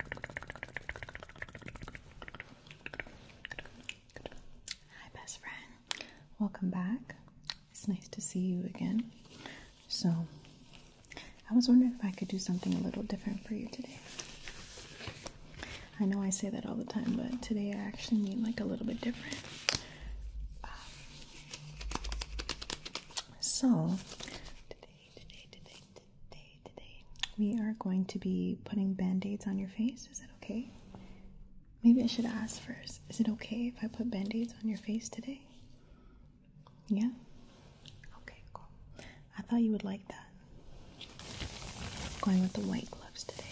Hi, best friend. Welcome back. It's nice to see you again. So, I was wondering if I could do something a little different for you today. I know I say that all the time, but today I actually mean like a little bit different. Um, so, Today, today, we are going to be putting band aids on your face. Is that okay? Maybe I should ask first. Is it okay if I put band aids on your face today? Yeah? Okay, cool. I thought you would like that. Going with the white gloves today.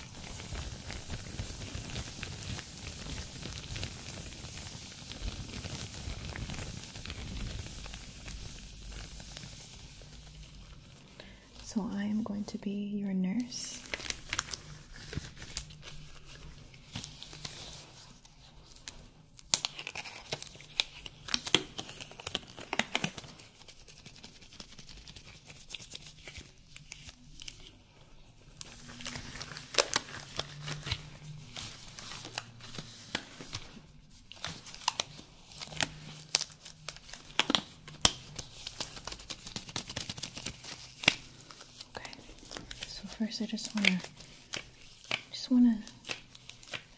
So I am going to be your nurse. Okay, so first I just wanna just wanna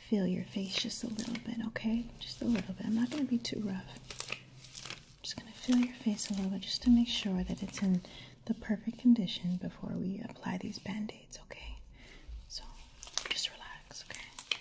feel your face just a little bit, okay? Just a little bit. I'm not gonna be too rough. just gonna feel your face a little bit just to make sure that it's in the perfect condition before we apply these band-aids, okay? So just relax, okay?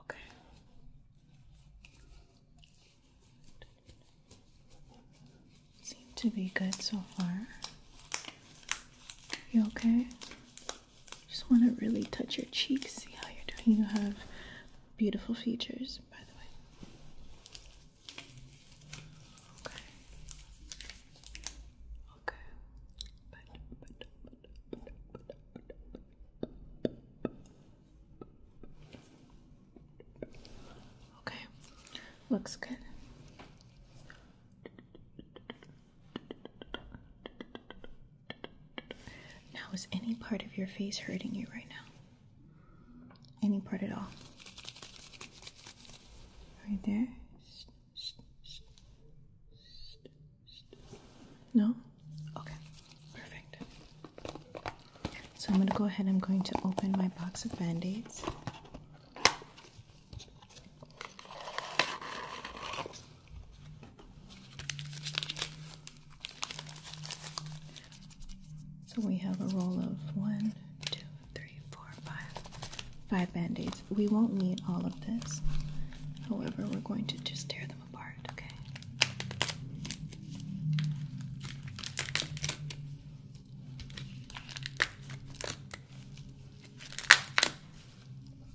Okay. Seem to be good so far. You okay? Just want to really touch your cheeks, see how you're doing. You have beautiful features, by the way. Okay. Okay. Okay. Looks good. Now, is any part of your face hurting you right now? Any part at all? Right there? No? Okay, perfect. So I'm going to go ahead, I'm going to open my box of band aids. So we have a roll of one, two, three, four, five, five band aids we won't need all of this. However, we're going to just tear them apart, okay?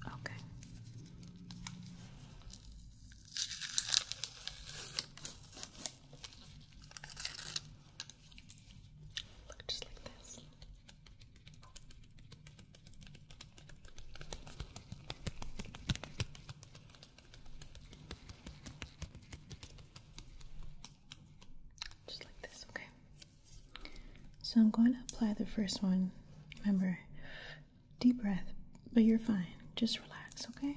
Okay. Look just like this. Just like this, okay? So I'm going to apply the first one. Remember, deep breath, but you're fine. Just relax, okay?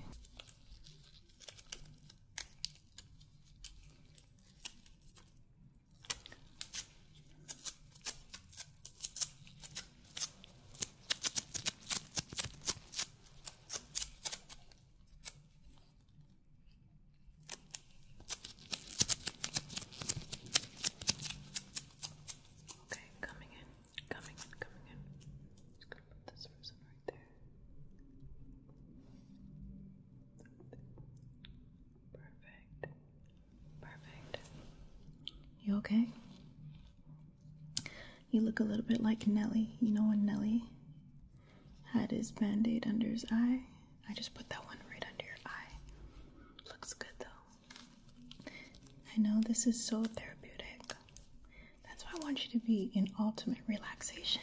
Okay, coming in, coming in, coming in. Just gonna put this person right there. Perfect. Perfect. You okay? You look a little bit like Nelly. You know when Nelly had his band aid under his eye? I just put that one right under your eye. Looks good though. I know this is so therapeutic. That's why I want you to be in ultimate relaxation.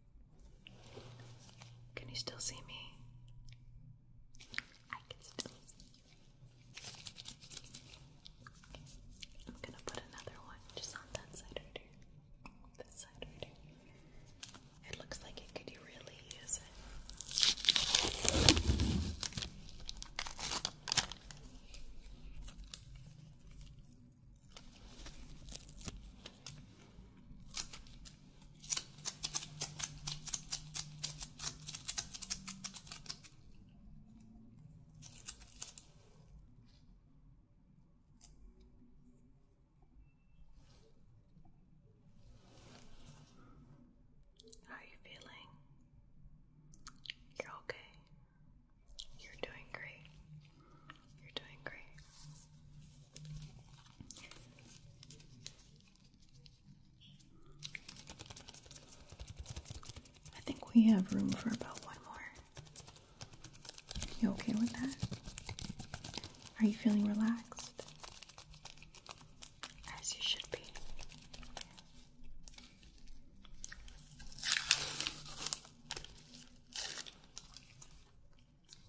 Can you still see me? I can still see I'm gonna put another one just on that side right here. That side right here. It looks like it could use it. How are you feeling? You're okay. You're doing great. You're doing great. I think we have room for about one more. You okay with that? Are you feeling relaxed? As you should be.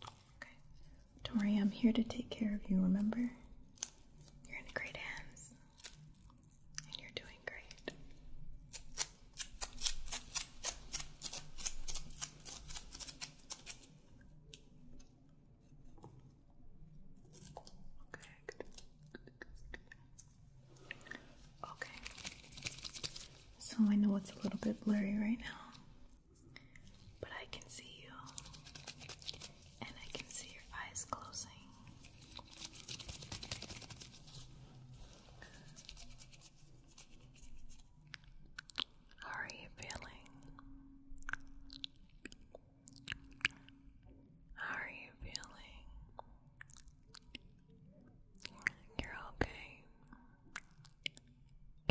Okay. Don't worry, I'm here to take care of you, remember? You're in great hands. And you're doing great. Okay, Good, good, good. Okay. So I know it's a little bit blurry right now. But I can see you, and I can see your eyes closing. How are you feeling? How are you feeling? You're okay.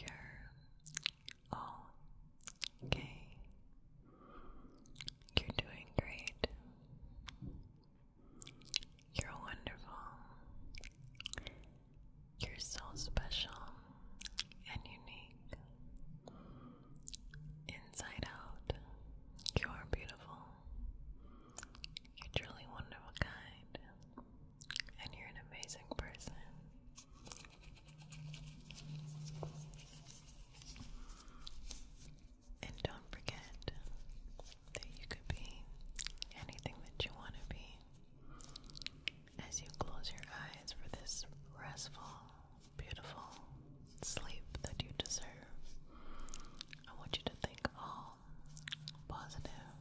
You're all okay. You're doing great. You're wonderful. You're so special and unique. Inside out, you are beautiful. You're truly wonderful, kind and you're an amazing person. And don't forget that you could be anything that you want to be as you close your eyes for this restful, beautiful sleep that you deserve. I want you to think all positive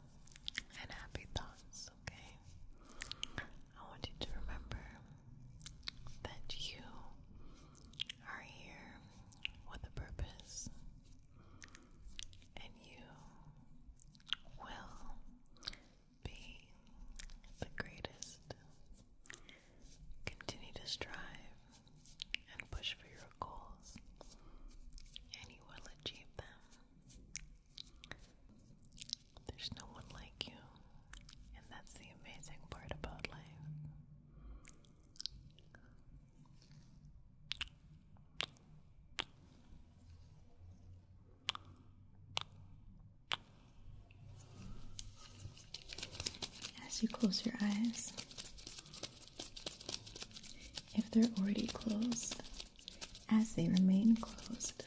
and happy thoughts okay? I want you to remember that you are here with a purpose and you will be the greatest. Continue to strive and push for your goals, and you will achieve them. There's no one like you, and that's the amazing part about life. As you close your eyes, if they're already closed, as they remain closed,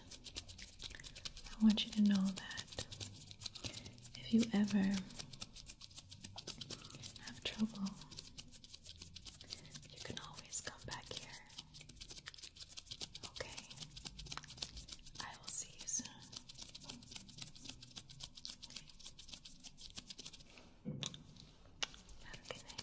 I want you to know that if you ever have trouble, you can always come back here. Okay? I will see you soon. Have